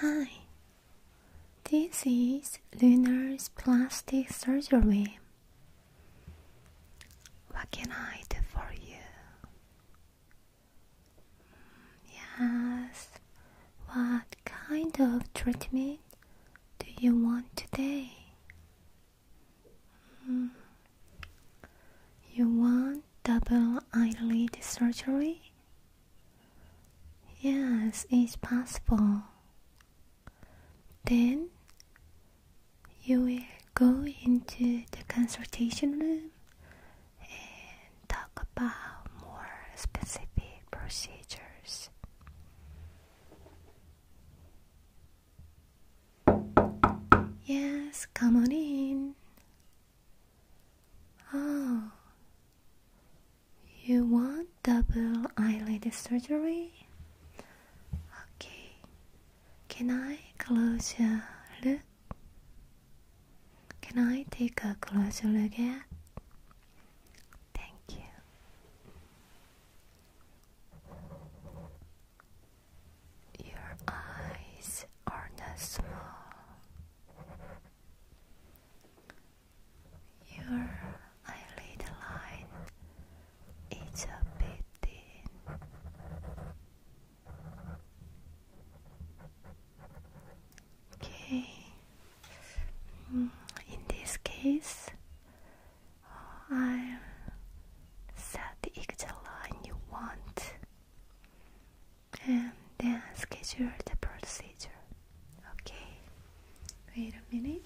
Hi, this is Lunar's Plastic Surgery. What can I do for you? Yes. What kind of treatment do you want today? Hmm. You want double eyelid surgery? Yes, it's possible. Then you will go into the consultation room and talk about more specific procedures. Yes, come on in. Oh, you want double eyelid surgery? Okay, can I close your look? Can I take a closer look at? Thank you. Your eyes are not small. Your eyelid line is a bit thin. Okay. Mm, in this case, uh, I set the exit line you want, and then schedule the procedure. Okay. Wait a minute.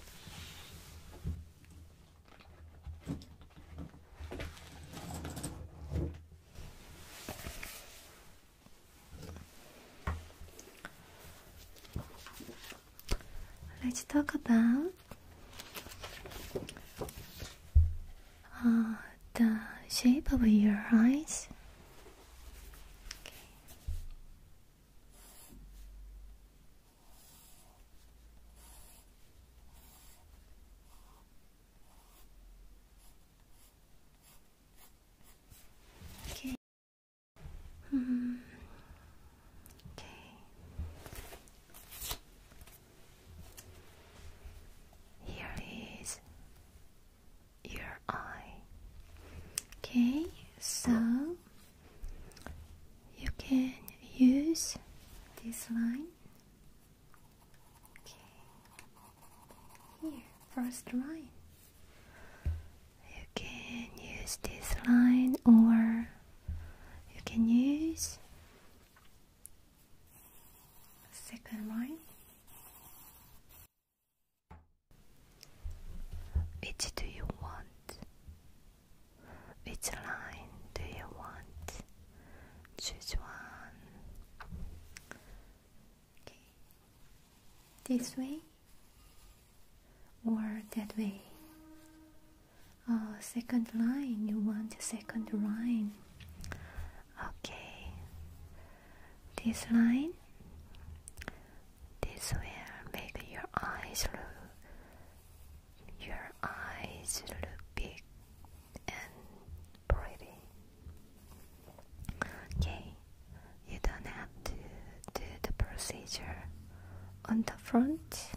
Let's talk about uh, the shape of your eyes. Okay. Hmm. Okay. Here is your eye. Okay, so you can use this line Okay. Here, first line. You can use this line or you can use second line. Which do you want? Which line do you want? Choose one. Okay. This way or that way? Oh, second line. You want the second line. Okay. This line. This will make your eyes look. Your eyes look big and pretty. Okay, you don't have to do the procedure on the front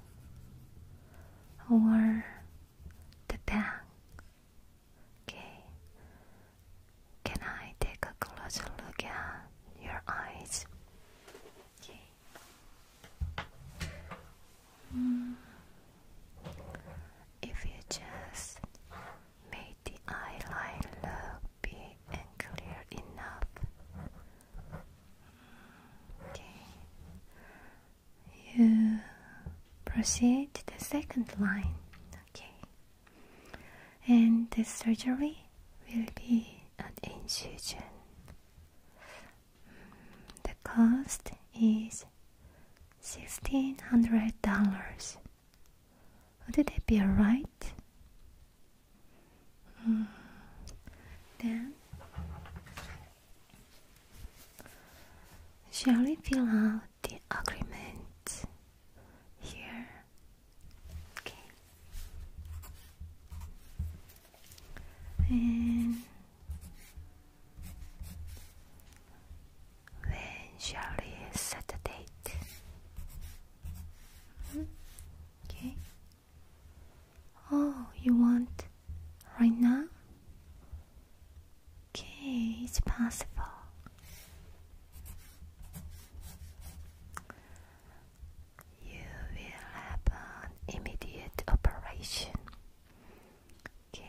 or the back. Okay, can I take a closer look at your eyes? Okay. Hmm. If you just make the eyeline look big and clear enough. Okay. You proceed to the second line. Okay. And the surgery will be an incision. The cost is sixteen hundred dollars. Would it be alright? Hmm. Then shall we fill out the agreement here? Okay. And when shall we set the date? Hmm? Okay. Oh, you want right now? Okay, it's possible. You will have an immediate operation. Okay,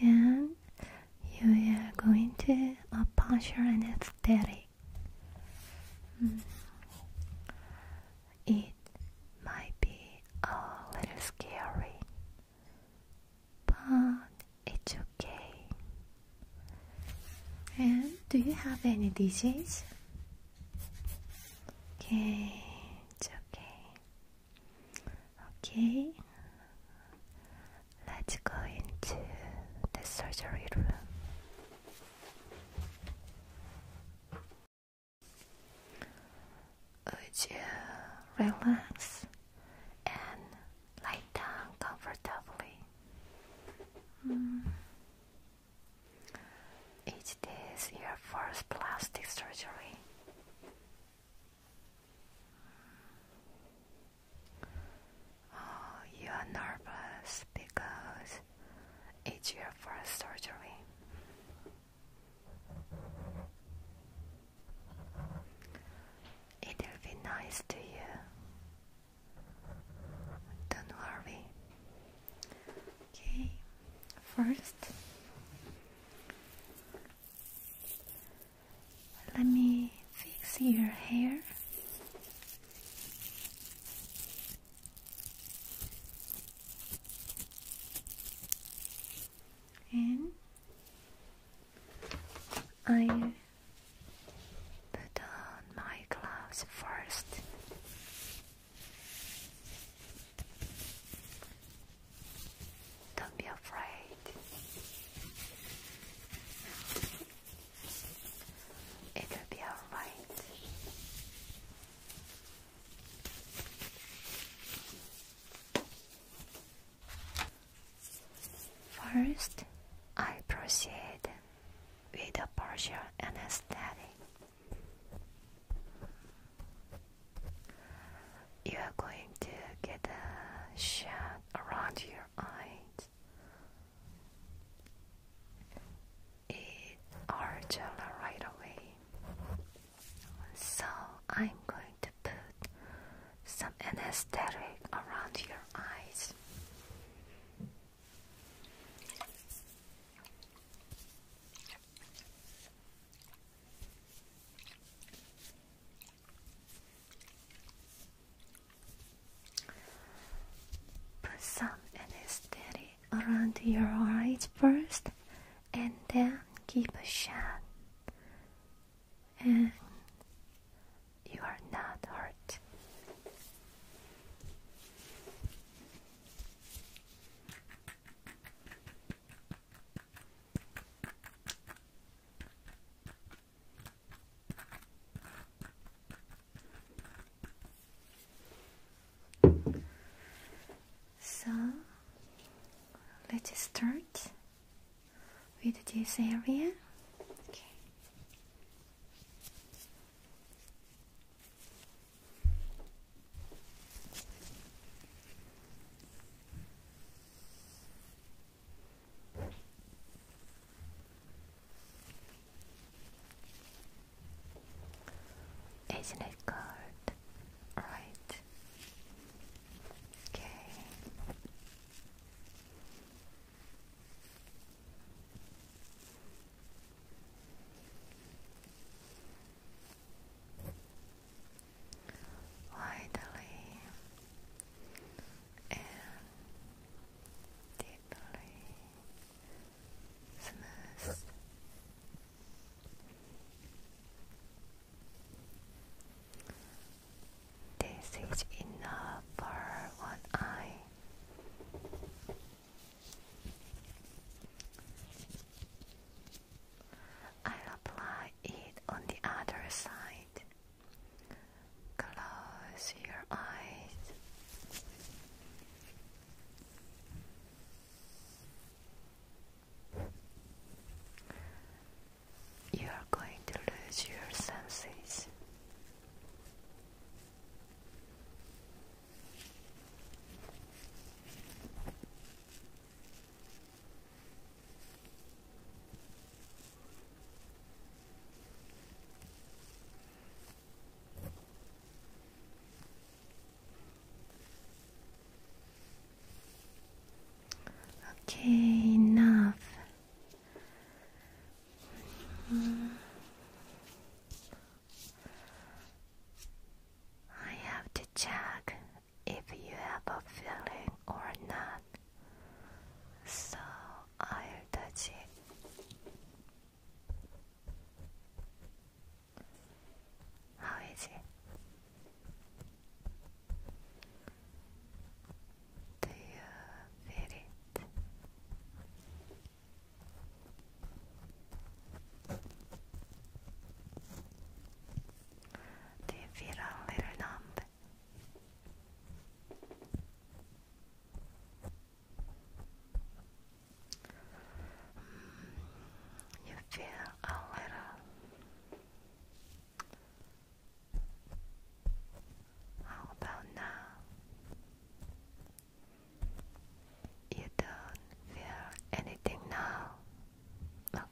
and you are going to a partial anesthetic. Mm. It might be a little scary, but it's okay. And do you have any disease? Okay, it's okay. Okay, let's go into the surgery room. Would you relax and lie down comfortably? Mm. Is this your first plastic surgery? Oh, you are nervous because it's your first surgery. It'll be nice to you. Don't worry. Okay, first let me fix your hair. And I put on my gloves first. Don't be afraid. It'll be alright. First, I proceed with a partial anesthetic you are going to get a shot around your eyes. Eat Argella right away. So I'm going to put some anesthetic around your eyes. Put some anesthetic around your eyes first and then give a shot. And you are not hurt. So let's start with this area. Isn't it good? Right. Okay widely and deeply smooth. This is enough for one eye. I'll apply it on the other side. Close your eyes. You are going to lose your senses. Okay, enough. I have to check if you have a feeling or not. So I'll touch it. How is it? Do you feel it? Do you feel a little numb? you feel a little. How about now? You don't feel anything now.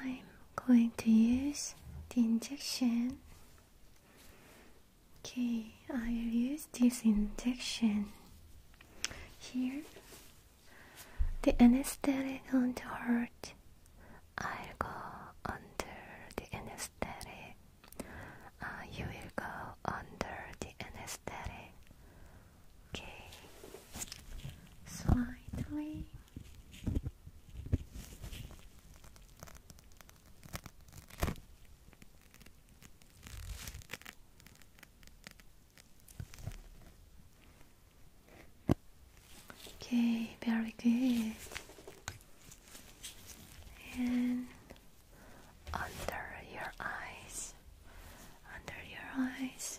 I'm going to use the injection. Okay, I will use this injection here. The anesthetic won't hurt. I'll go under the anesthetic. Uh, you will go under the anesthetic. Okay, slightly. Okay, very good. And under your eyes, under your eyes,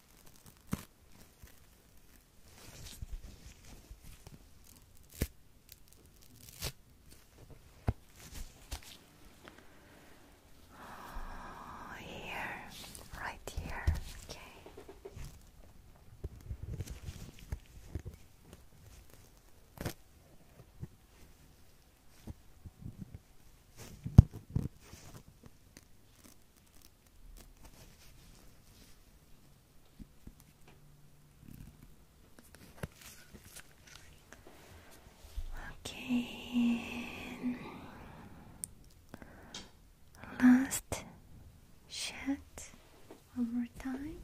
Oh, here, right here, okay. Okay. Last shot. One more time.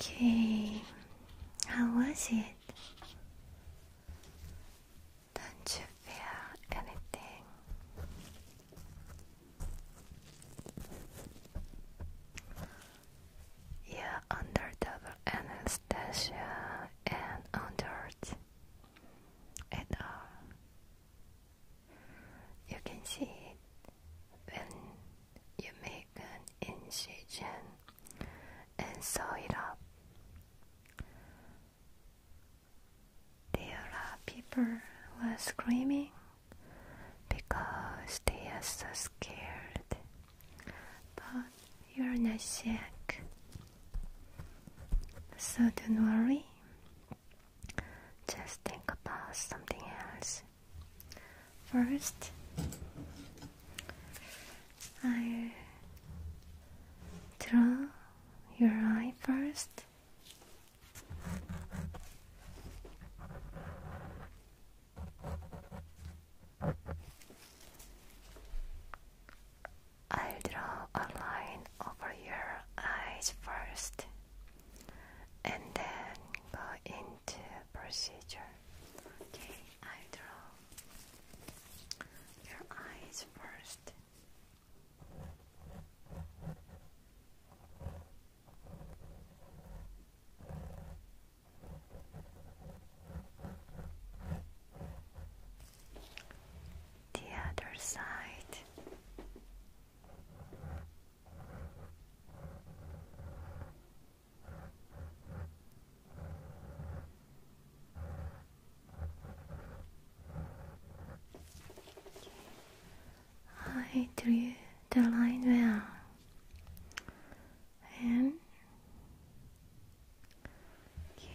Okay, how was it? Don't you feel anything? Yeah, under the anesthesia and under it, uh, You can see it when you make an incision and sew it up. There are people who are screaming because they are so scared but you're not sick, so don't worry. Just think about something else. First, draw your eye first. I'll draw a line over your eyes first and then go into procedure. Okay, i draw your eyes first. The other side. I drew the line well and okay.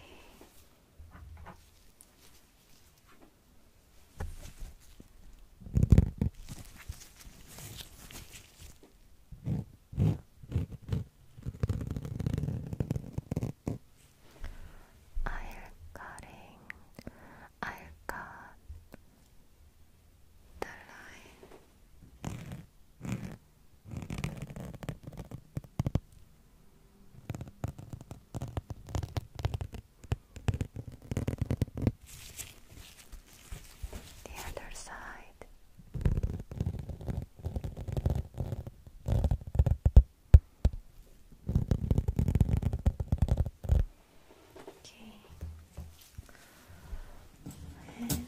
I've got I've got the line the other side okay and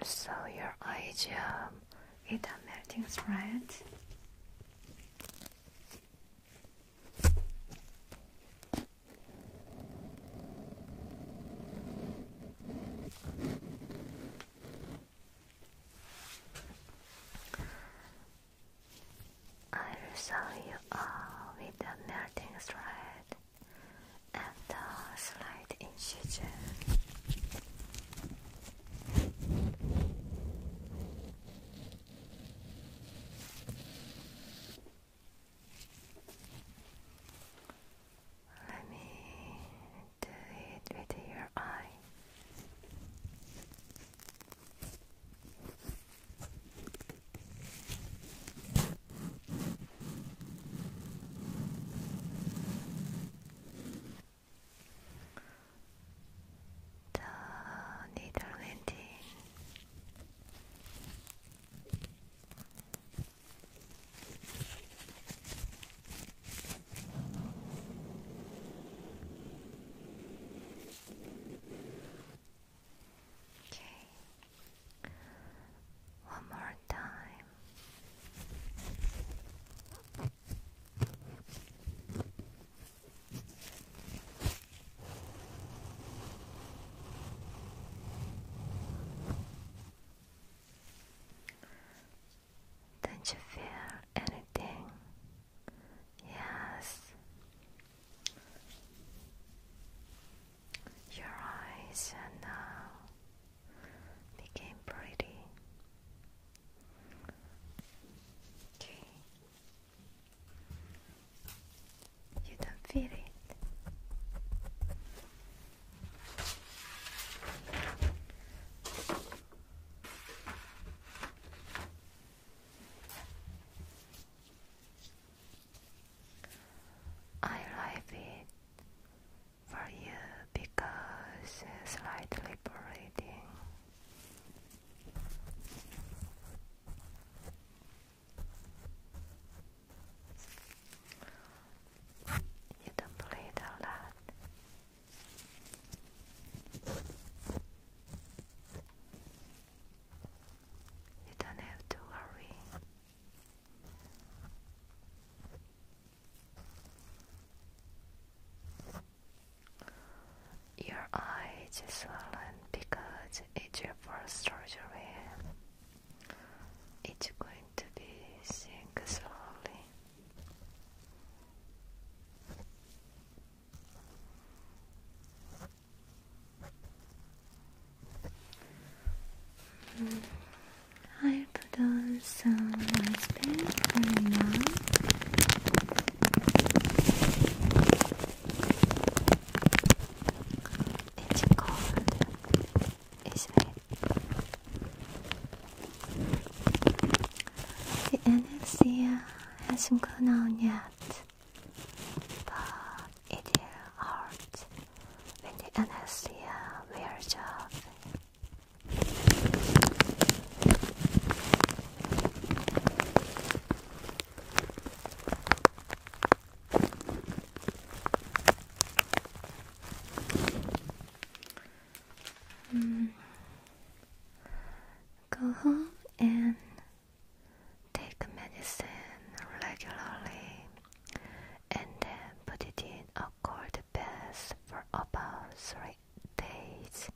I saw your idea. It melting's right. I saw you all with the melting stride and the slight incision. Let me do it with your eye. The needle went in. Okay. One more time. Don't you feel anything? Yes. Your eyes are now became pretty. Okay. You don't feel it. I like it for you because it's slightly breathing. You don't believe all that. You don't have to worry. Your eye is swollen because it's your first surgery. It's going going to be sink slowly. I put on some ice paint for you now. It's cold isn't it? The anesthesia hasn't gone on yet, but it hurts when the anesthesia wears off. Mm. go home and take medicine regularly and then put it in a cold bath for about three days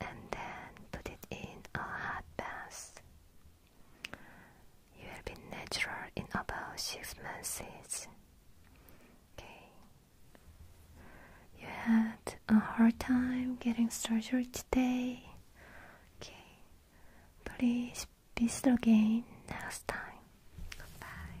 and then put it in a hot bath. You will be natural in about six months. Okay. You had a hard time getting surgery today. Okay. Please visit again next time. Bye.